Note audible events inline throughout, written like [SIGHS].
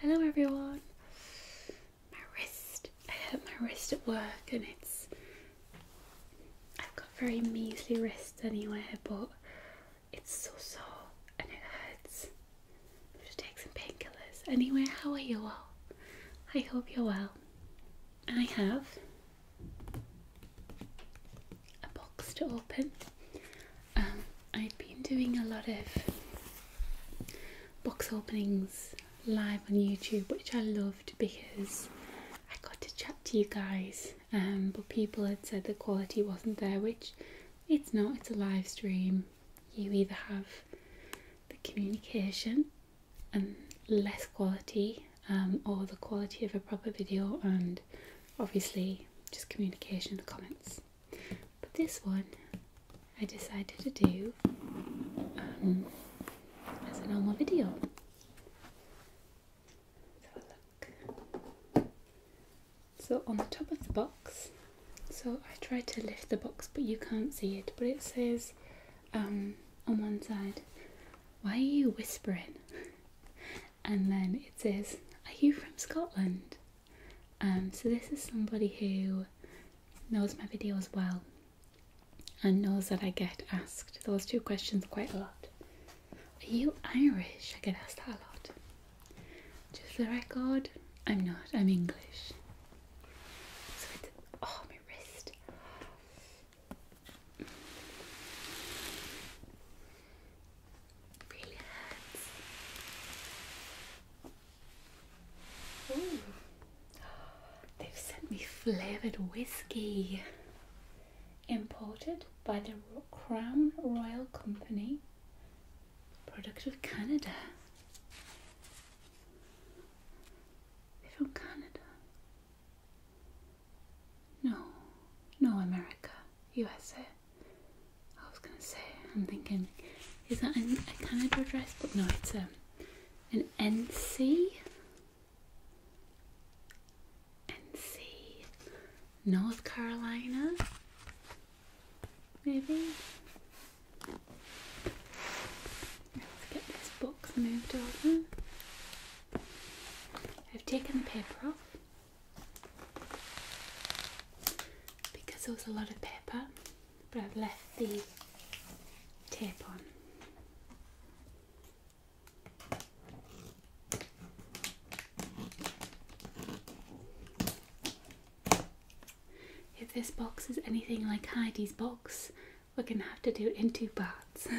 Hello everyone. My wrist. I [LAUGHS] hurt my wrist at work and it's I've got very measly wrists anyway, but it's so sore and it hurts. I'm take some painkillers. Anyway, how are you all? I hope you're well. I have a box to open. Um, i had been doing a lot of box openings live on YouTube, which I loved because I got to chat to you guys. Um, but people had said the quality wasn't there, which it's not, it's a live stream. You either have the communication and less quality um, or the quality of a proper video and obviously just communication in the comments. But this one I decided to do um, as a normal video. let look. So on the top of the box, so I tried to lift the box but you can't see it, but it says um, on one side why are you whispering? and then it says, Are you from Scotland? Um, so this is somebody who knows my video as well and knows that I get asked those two questions quite a lot. Are you Irish? I get asked that a lot. Just for the record, I'm not, I'm English. So it's, oh, my wrist. They've sent me flavored whiskey imported by the Crown Royal Company, product of Canada. from Canada. No, no, America, USA. I was gonna say, I'm thinking, is that kind of Canada dress But no, it's a, um, an NC. NC. North Carolina. Maybe. Let's get this box moved over. I've taken the paper off because there was a lot of paper, but I've left the tape on. If this box is anything like Heidi's box, we're going to have to do it in two parts. [LAUGHS]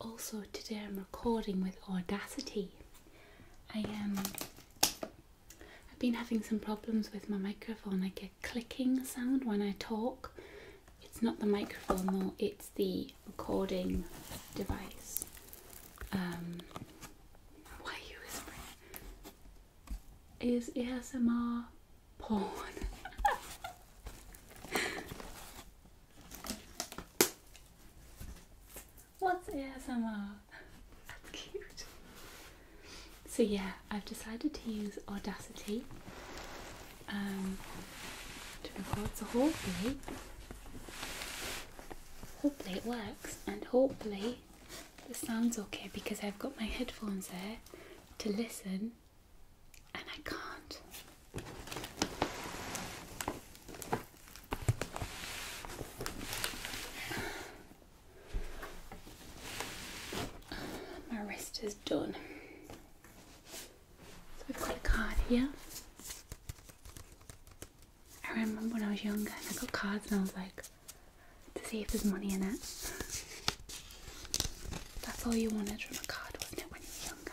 Also, today I'm recording with Audacity. I Um, I've been having some problems with my microphone. I get clicking sound when I talk. It's not the microphone though; it's the recording device. Um, why are you whispering? is ASMR porn. What's ASMR? That's cute. So yeah, I've decided to use Audacity um, to record. So hopefully, hopefully it works, and hopefully the sound's okay because I've got my headphones there to listen and I can't. My wrist is done. So I've got a card here. I remember when I was younger and I got cards and I was like, to see if there's money in it. That's all you wanted from a card, wasn't it, when you were younger?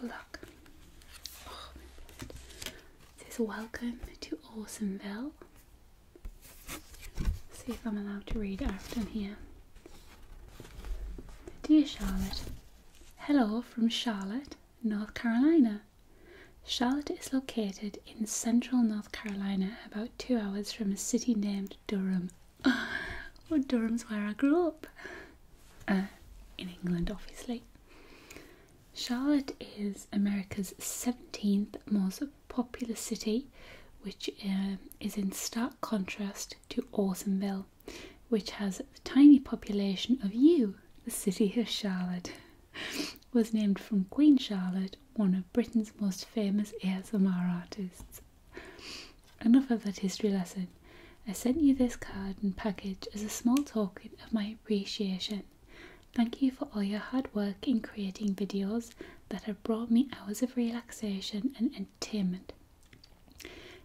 What look. Oh, my welcome to Awesomeville see if I'm allowed to read Afton here. Dear Charlotte, hello from Charlotte, North Carolina. Charlotte is located in central North Carolina, about two hours from a city named Durham. [SIGHS] Well, Durham's where I grew up. Uh, in England, obviously. Charlotte is America's 17th most a popular city which um, is in stark contrast to Ortonville, which has the tiny population of you. The city of Charlotte [LAUGHS] was named from Queen Charlotte, one of Britain's most famous ASMR artists. Enough of that history lesson. I sent you this card and package as a small token of my appreciation. Thank you for all your hard work in creating videos that have brought me hours of relaxation and entertainment.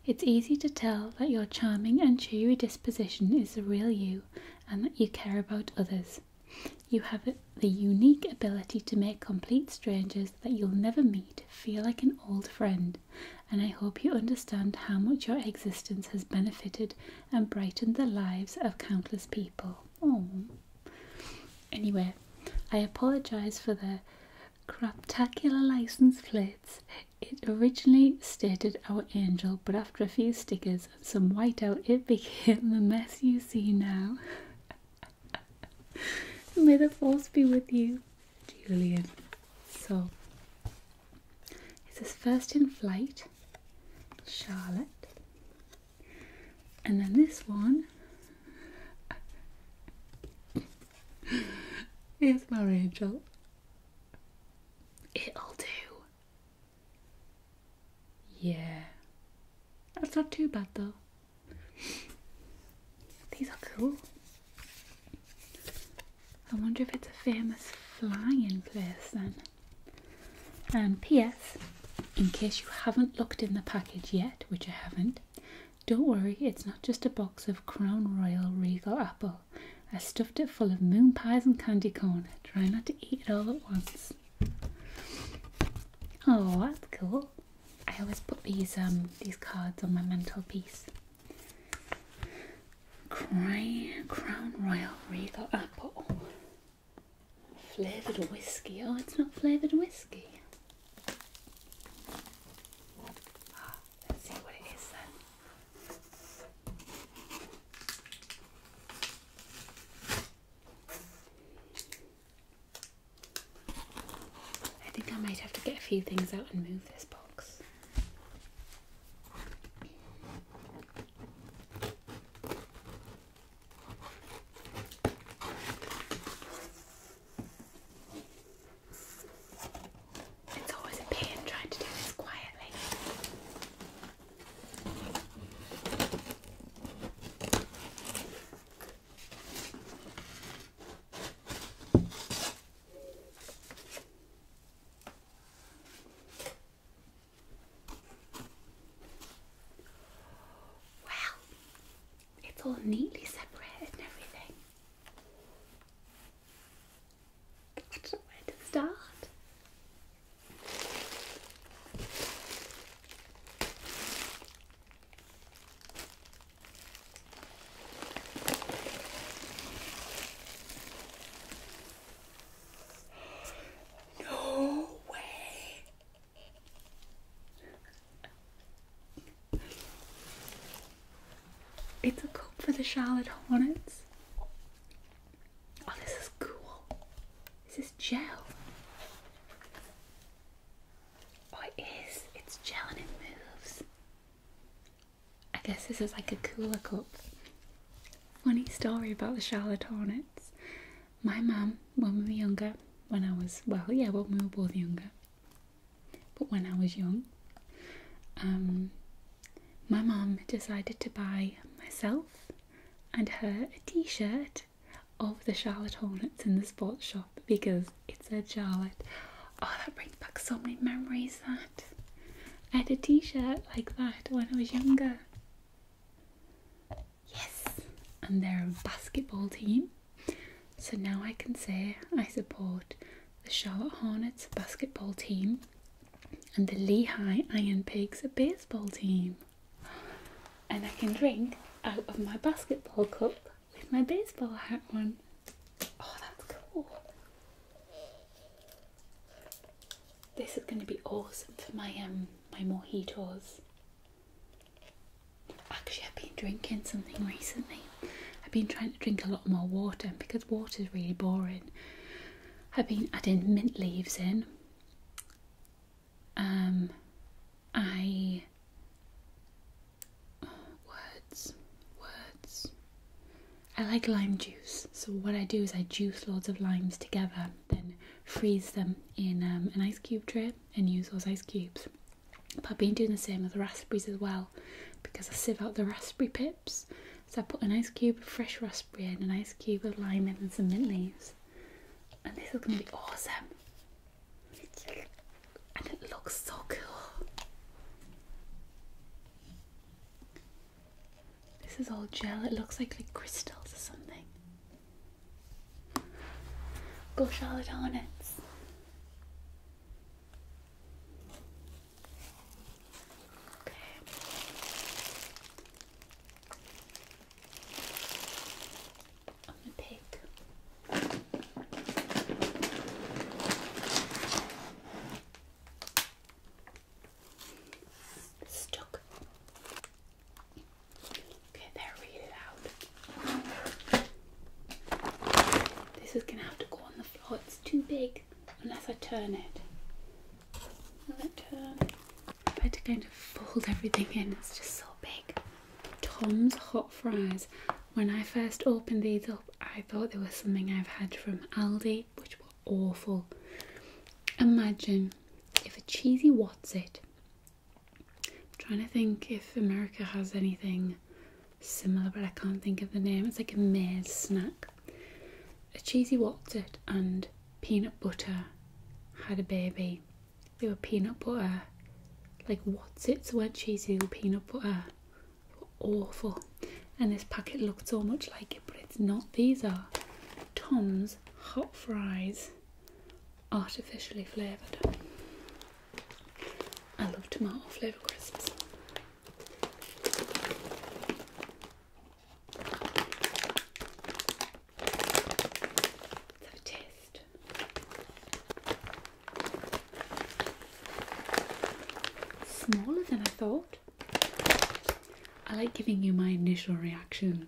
It's easy to tell that your charming and cheery disposition is the real you and that you care about others. You have the unique ability to make complete strangers that you'll never meet feel like an old friend, and I hope you understand how much your existence has benefited and brightened the lives of countless people. Aww. Anyway, I apologise for the craptacular license plates. It originally stated our angel, but after a few stickers and some whiteout, it [LAUGHS] became the mess you see now. [LAUGHS] May the force be with you, Julian. So, it's his first in flight, Charlotte. And then this one is my angel. It'll do. Yeah. That's not too bad though. These are cool. I wonder if it's a famous flying place then. And um, P.S in case you haven't looked in the package yet, which I haven't, don't worry, it's not just a box of Crown Royal Regal Apple. I stuffed it full of moon pies and candy corn. Try not to eat it all at once. Oh, that's cool. I always put these um these cards on my mantelpiece. Crown Royal Regal Apple. Flavoured whiskey. Oh, it's not flavoured whiskey. let's see what it is then. I think I might have to get a few things out and move this box. It's always a pain trying to do this quietly. Well, it's all neatly separated and everything. where to start. No way! It's a cup for the Charlotte Hornets. Oh, this is cool. This is gel. Oh, it is. It's gel it moves. I guess this is like a cooler cup. Funny story about the Charlotte Hornets my mum, when we were younger, when I was, well, yeah, when we were both younger, but when I was young, um, my mum decided to buy myself and her a t shirt of the Charlotte Hornets in the sports shop because it said Charlotte. Oh, that brings back so many memories. That I had a t shirt like that when I was younger. Yes, and they're a basketball team. So now I can say I support the Charlotte Hornets basketball team and the Lehigh Iron Pigs baseball team. And I can drink out of my basketball cup with my baseball hat on. Oh, that's cool. This is going to be awesome for my um my mojitos. Actually, ah, I've been drinking something recently. I've been trying to drink a lot more water because water is really boring. I've been adding mint leaves in. Um, I [SIGHS] words, words. I like lime juice, so what I do is I juice loads of limes together, then freeze them in um, an ice cube tray, and use those ice cubes. But I've been doing the same with the raspberries as well because I sieve out the raspberry pips. So I put an ice cube of fresh raspberry in, an ice cube of lime and some mint leaves. And this is going to be awesome. And it looks so cool. This is all gel, it looks like, like crystals or something. Go Charlotte Hornets. Okay. I'm gonna pick. Stuck. Okay, there, read it out. This is gonna have to go on the floor, it's too big unless I turn it. Will it turn? I've had to kind of fold everything in, it's just so big. Tom's Hot Fries. When I first opened these up, I thought they were something I've had from Aldi, which were awful. Imagine if a cheesy What's It I'm trying to think if America has anything similar, but I can't think of the name. It's like a maize snack. A cheesy wotsit and peanut butter had a baby. They were peanut butter, like wotsits were cheesy, they peanut butter. awful. And this packet looked so much like it, but it's not. These are Tom's Hot Fries artificially flavoured. I love tomato flavour crisps. Let's have a taste. Smaller than I thought. I like giving you my initial reaction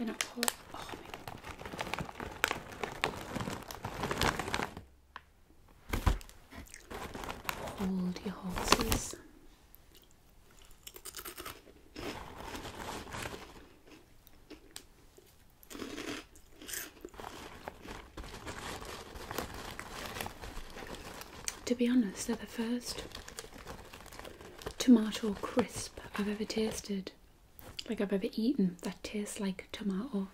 Oh, Hold your horses. To be honest, they're the first tomato crisp I've ever tasted. Like I've ever eaten that tastes like tomato.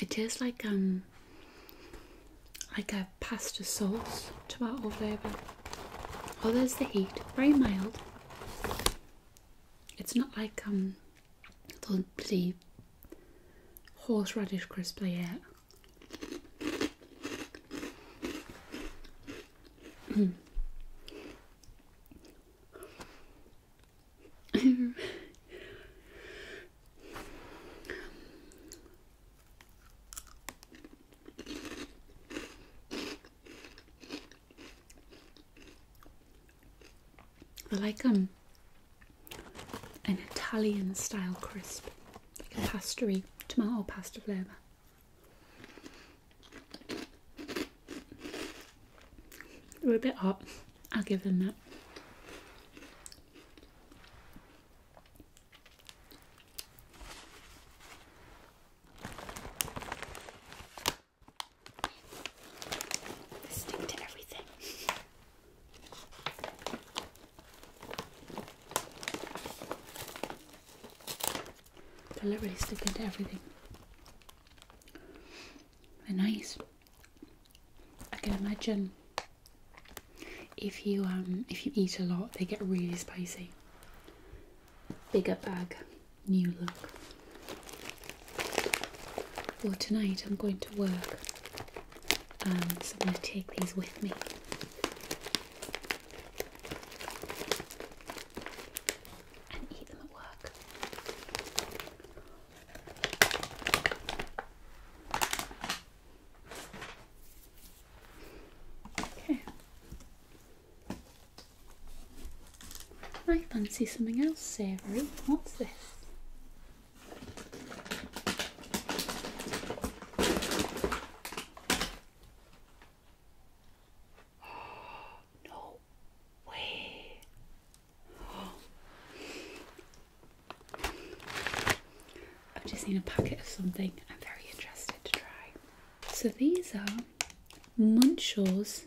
It tastes like um like a pasta sauce tomato flavour. Oh there's the heat. Very mild. It's not like um the bloody horseradish crisp they I like um an Italian style crisp, like a pastry, tomato pasta flavour. They are a bit hot, I'll give them that. They stick to everything. they literally sticking to everything. They're nice. I can imagine if you um if you eat a lot, they get really spicy. Bigger bag, new look. Well, tonight I'm going to work, um, so I'm going to take these with me. And eat them at work. Okay. I fancy something else savoury. What's this? [GASPS] no way. [GASPS] I've just seen a packet of something I'm very interested to try. So these are Munchaw's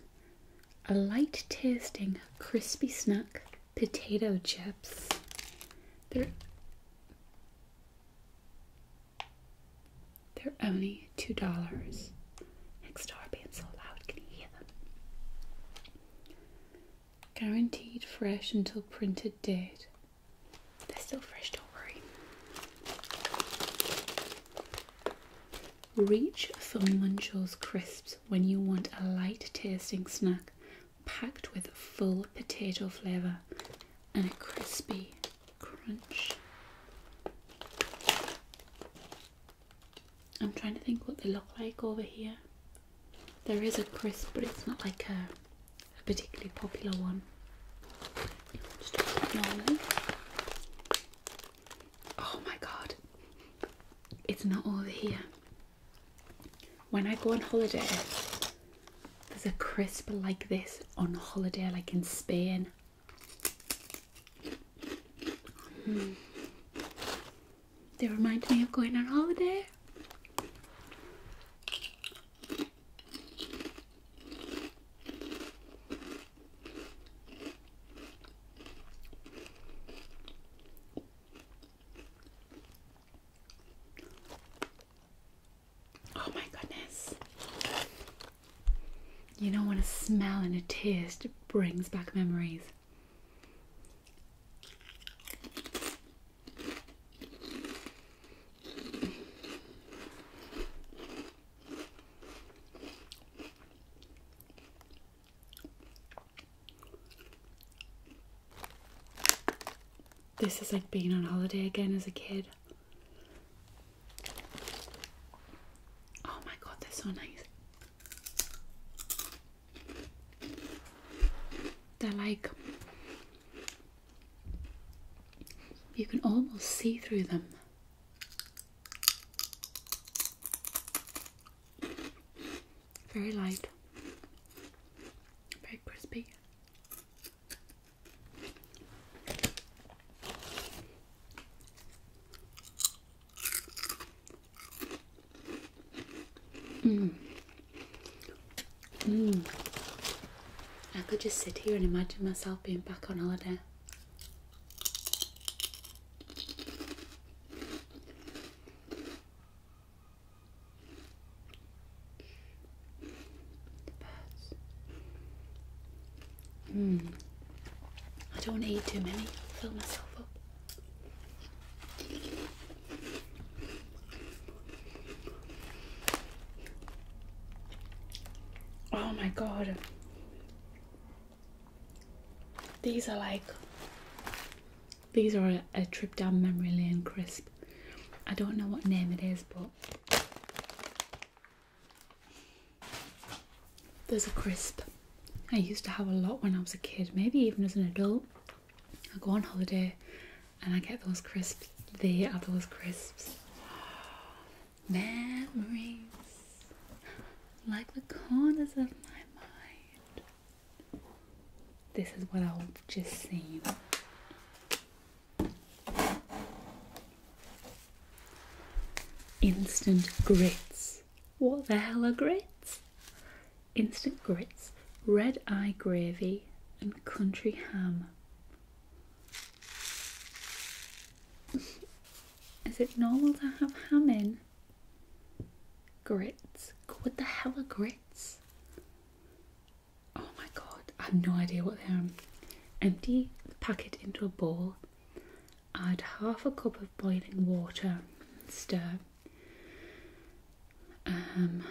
a light tasting crispy snack potato chips. They're they're only two dollars. Next door being so loud, can you hear them? Guaranteed fresh until printed date. They're still fresh, don't worry. Reach for Munchau's crisps when you want a light tasting snack packed with full potato flavour and a crispy crunch. I'm trying to think what they look like over here. There is a crisp, but it's not like a, particularly popular one. Oh my god, it's not over here. When I go on holiday, there's a crisp like this on holiday, like in Spain. Hmm. They remind me of going on holiday. Oh my goodness. You know what a smell and a taste brings back memories. This is like being on holiday again as a kid. Oh my god, they're so nice. They're like you can almost see through them. Very light, very crispy. Mmm. Mmm. I could just sit here and imagine myself being back on holiday birds. Hmm. I don't want eat too many, fill myself up. Oh my god. These are like these are a, a trip down memory lane crisp. I don't know what name it is, but there's a crisp I used to have a lot when I was a kid, maybe even as an adult. I go on holiday and I get those crisps. They are those crisps. [GASPS] Memories like the corners of my this is what I've just seen. Instant grits. What the hell are grits? Instant grits, red eye gravy, and country ham. [LAUGHS] Is it normal to have ham in? Grits. What the hell are grits? Oh my god, I have no idea what they are. Empty the packet into a bowl. Add half a cup of boiling water. Stir. Um.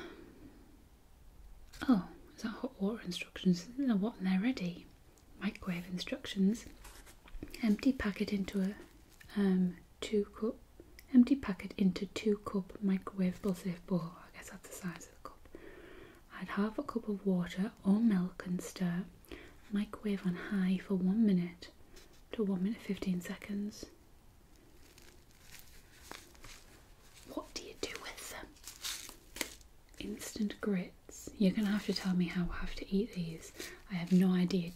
Oh, is that hot water instructions? They're what? They're ready. Microwave instructions. Empty packet into a um, two cup empty packet into two cup microwavable safe bowl. I guess that's the size of the cup. Add half a cup of water or milk and stir. Microwave on high for one minute to one minute fifteen seconds. What do you do with them? Instant grits. You're gonna have to tell me how I have to eat these. I have no idea.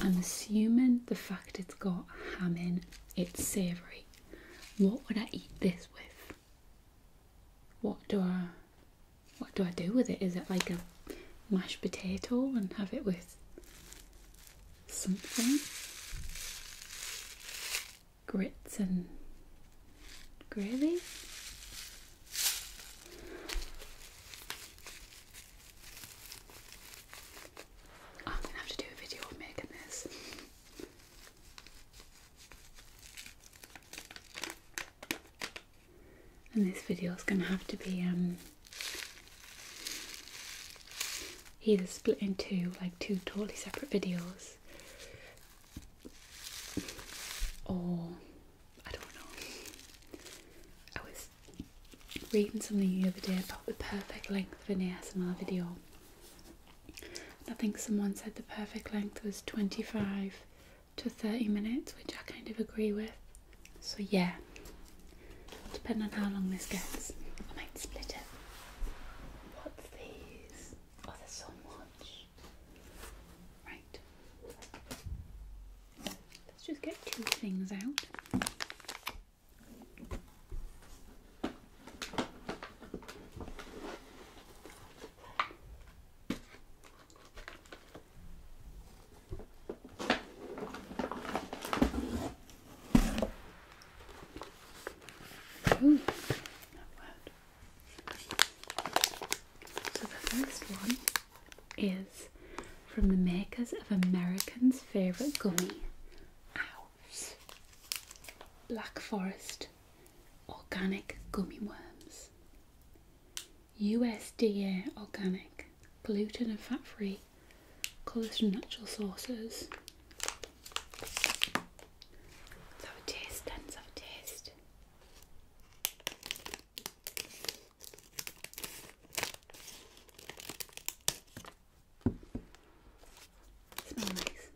I'm assuming the fact it's got ham in, it's savoury. What would I eat this with? What do I what do I do with it? Is it like a mashed potato and have it with something? Grits and gravy? I'm gonna have to do a video of making this. And this video is gonna have to be um, either split into like two totally separate videos or I don't know. I was reading something the other day about the perfect length for an ASMR video. I think someone said the perfect length was 25 to 30 minutes, which I kind of agree with. So yeah, depending on how long this gets, I might split it. What's these? Oh, there's so Right. Let's just get two things out. Ooh, that so the first one is from the makers of American's favourite gummy, ours. Black Forest Organic Gummy Worms. USDA Organic, gluten and fat free, colours from natural sources. Let's taste then, let taste. Smell nice.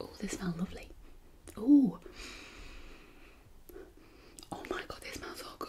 Oh, they smell lovely. Oh, oh my god, this smells so good.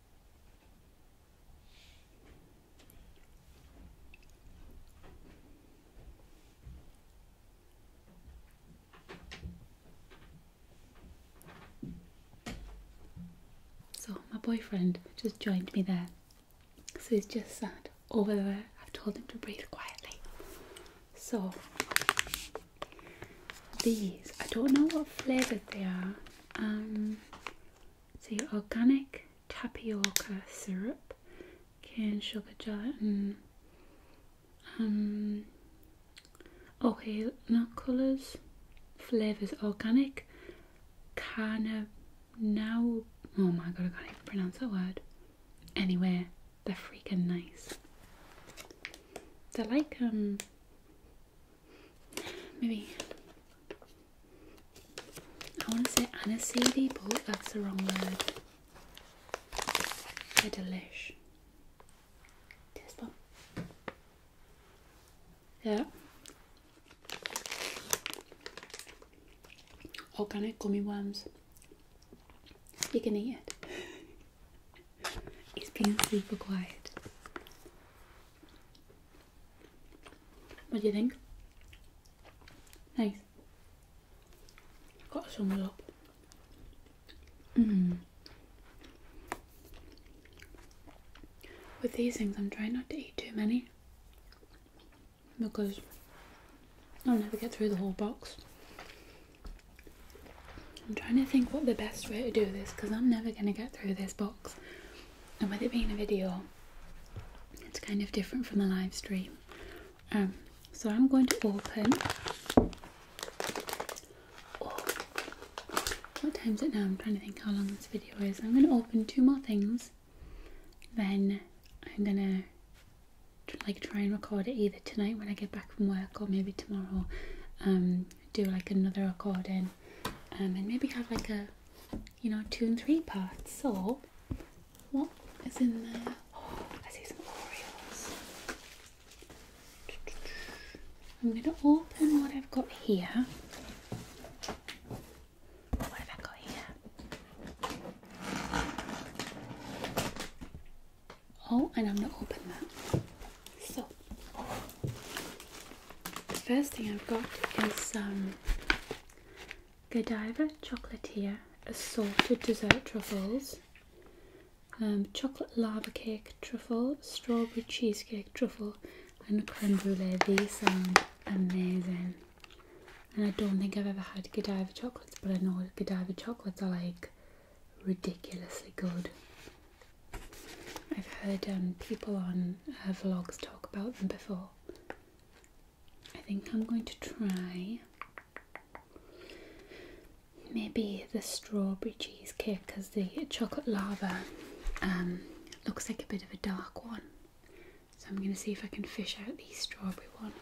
So my boyfriend just joined me there. So he's just sat over there. I've told him to breathe quietly. So these, I don't know what flavour they are. Um, so organic tapioca syrup, cane sugar gelatin, um, okay, nut colours, flavours organic, carna now. Oh my god, I can't even pronounce that word. Anyway, they're freaking nice. They're like um Maybe. I want to say aniseedy, but that's the wrong word. They're delish. Taste bomb. Yeah. Organic gummy worms. You can eat it. He's [LAUGHS] being super quiet. What do you think? Nice. got some up. Mm-hmm. With these things, I'm trying not to eat too many because I'll never get through the whole box. I'm trying to think what the best way to do this because I'm never going to get through this box. And with it being a video, it's kind of different from a live stream. Um, so I'm going to open. Oh, what time is it now? I'm trying to think how long this video is. I'm going to open two more things. Then I'm going to like try and record it either tonight when I get back from work or maybe tomorrow. Um, do like another recording um, and maybe have like a you know two and three parts. So what is in there? Oh, I see some Oreos. I'm gonna open what I've got here. What have I got here? Oh, and I'm gonna open that. So the first thing I've got is some um, Godiva chocolate here, assorted dessert truffles, um, chocolate lava cake truffle, strawberry cheesecake truffle, and a creme brulee. These sound amazing. And I don't think I've ever had Godiva chocolates, but I know Godiva chocolates are like ridiculously good. I've heard um, people on uh, vlogs talk about them before. I think I'm going to try maybe the strawberry cheese cake because the chocolate lava um, looks like a bit of a dark one. So I'm going to see if I can fish out the strawberry one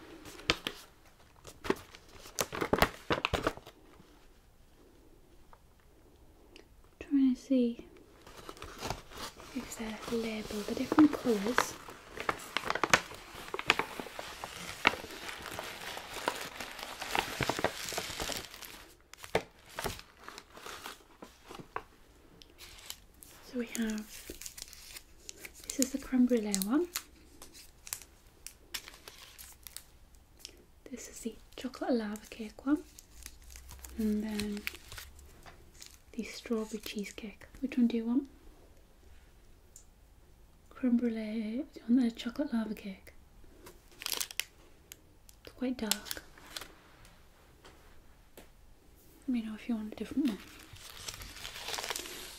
trying to see if they're labelled the different colours. So we have this is the cranberry brulee one. This is the chocolate lava cake one, and then the strawberry cheesecake. Which one do you want? Creme brulee on the chocolate lava cake. It's quite dark. Let me know if you want a different one.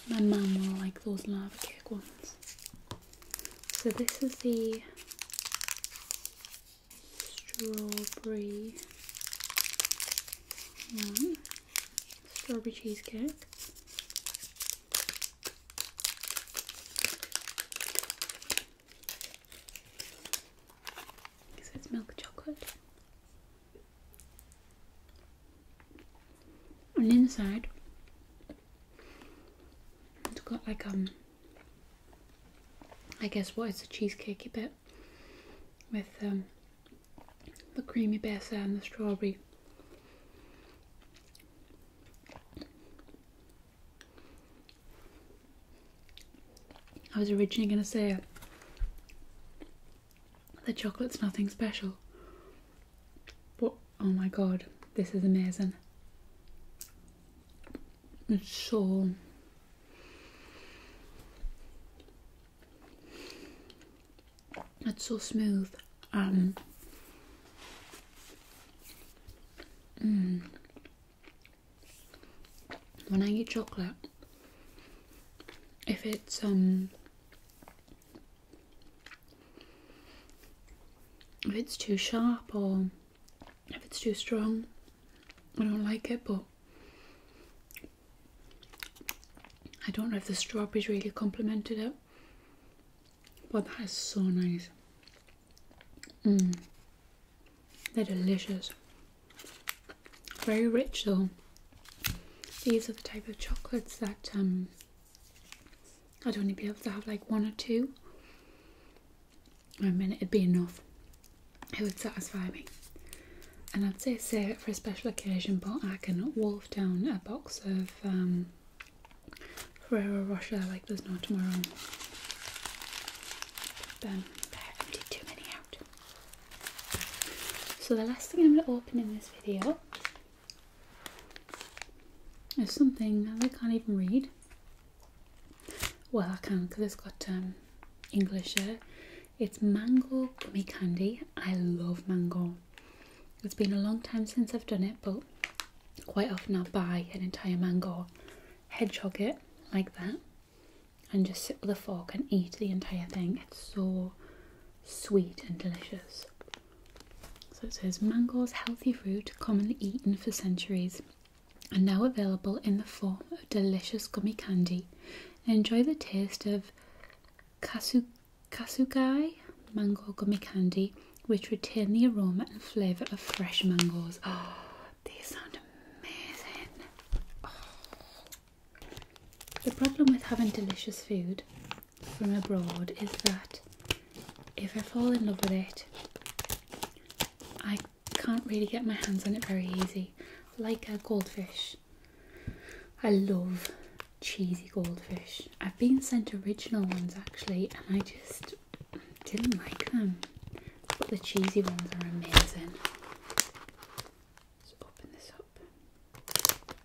My mum will like those lava cake ones. So this is the strawberry one, um, strawberry cheesecake. So it's milk chocolate. And inside it's got like um I guess what is the a cheesecakey bit with um, the creamy batter and the strawberry. I was originally going to say the chocolate's nothing special, but oh my god, this is amazing. It's so it's so smooth. Um mm. when I eat chocolate if it's um if it's too sharp or if it's too strong, I don't like it, but I don't know if the strawberries really complemented it. But that is so nice. Mm. They're delicious. Very rich though. These are the type of chocolates that um, I'd only be able to have like one or two. I mean, it'd be enough. It would satisfy me. And I'd say save it for a special occasion, but I can wolf down a box of um, Ferrero Rocher like there's no tomorrow. too many out. So the last thing I'm going to open in this video is something I can't even read. Well, I can because it's got um, English It's mango gummy candy. I love mango. It's been a long time since I've done it, but quite often I'll buy an entire mango, hedgehog it like that, and just sit with a fork and eat the entire thing. It's so sweet and delicious. So it says mangoes, healthy fruit commonly eaten for centuries, are now available in the form of delicious gummy candy. Enjoy the taste of kasu kasugai mango gummy candy, which retain the aroma and flavour of fresh mangoes. Oh, [GASPS] these sound amazing. The problem with having delicious food from abroad is that if I fall in love with it, I can't really get my hands on it very easy. Like a goldfish, I love cheesy goldfish. I've been sent original ones actually, and I just didn't like them. But the cheesy ones are amazing. Let's open this up.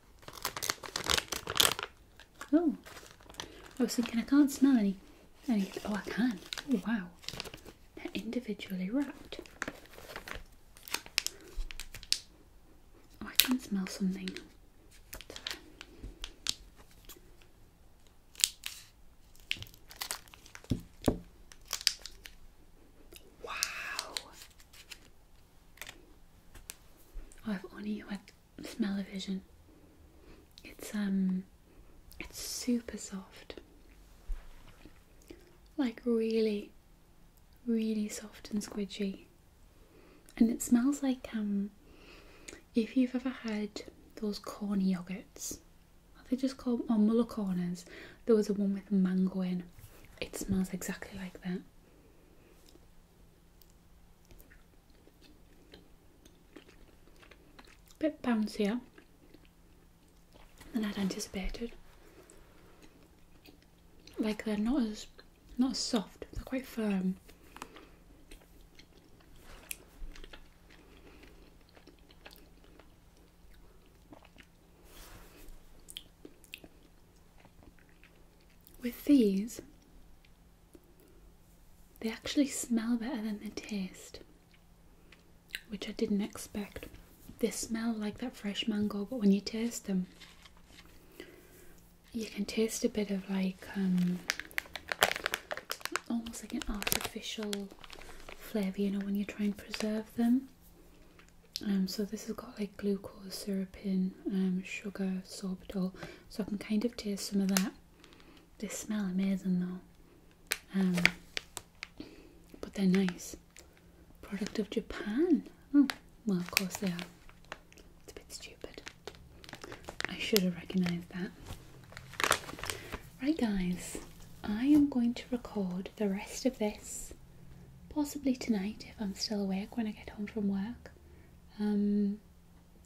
Oh, I was thinking I can't smell any. any oh, I can. Oh, wow. They're individually wrapped. Oh, I can smell something. Wow. I've only had smell-o-vision it's um it's super soft like really really soft and squidgy and it smells like um if you've ever had those corny yogurts they just called or oh, muller corners there was a one with mango in it smells exactly like that bit bouncier than I'd anticipated. Like they're not as not as soft, they're quite firm. With these, they actually smell better than they taste, which I didn't expect. They smell like that fresh mango, but when you taste them, you can taste a bit of like um, almost like an artificial flavour, you know, when you try and preserve them. Um, so this has got like glucose syrup in, um, sugar, sorbitol, so I can kind of taste some of that. They smell amazing though. Um, but they're nice. Product of Japan. Oh, well, of course they are. It's a bit stupid. I should have recognised that. Right, guys, I am going to record the rest of this, possibly tonight if I'm still awake when I get home from work. Um,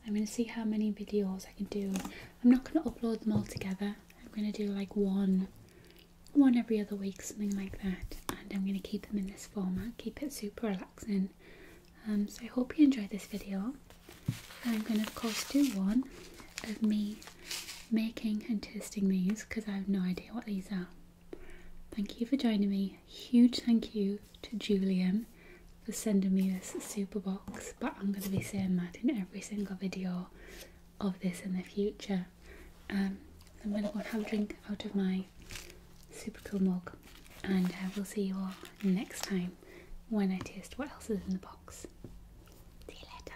I'm going to see how many videos I can do. I'm not going to upload them all together. I'm going to do like one, one every other week, something like that. And I'm going to keep them in this format, keep it super relaxing. Um, so I hope you enjoyed this video. I'm going to of course do one of me making and testing these because I have no idea what these are. Thank you for joining me huge thank you to Julian for sending me this super box, but I'm going to be saying that in every single video of this in the future. Um, I'm going to go and have a drink out of my super cool mug, and I uh, will see you all next time when I taste what else is in the box. See you later.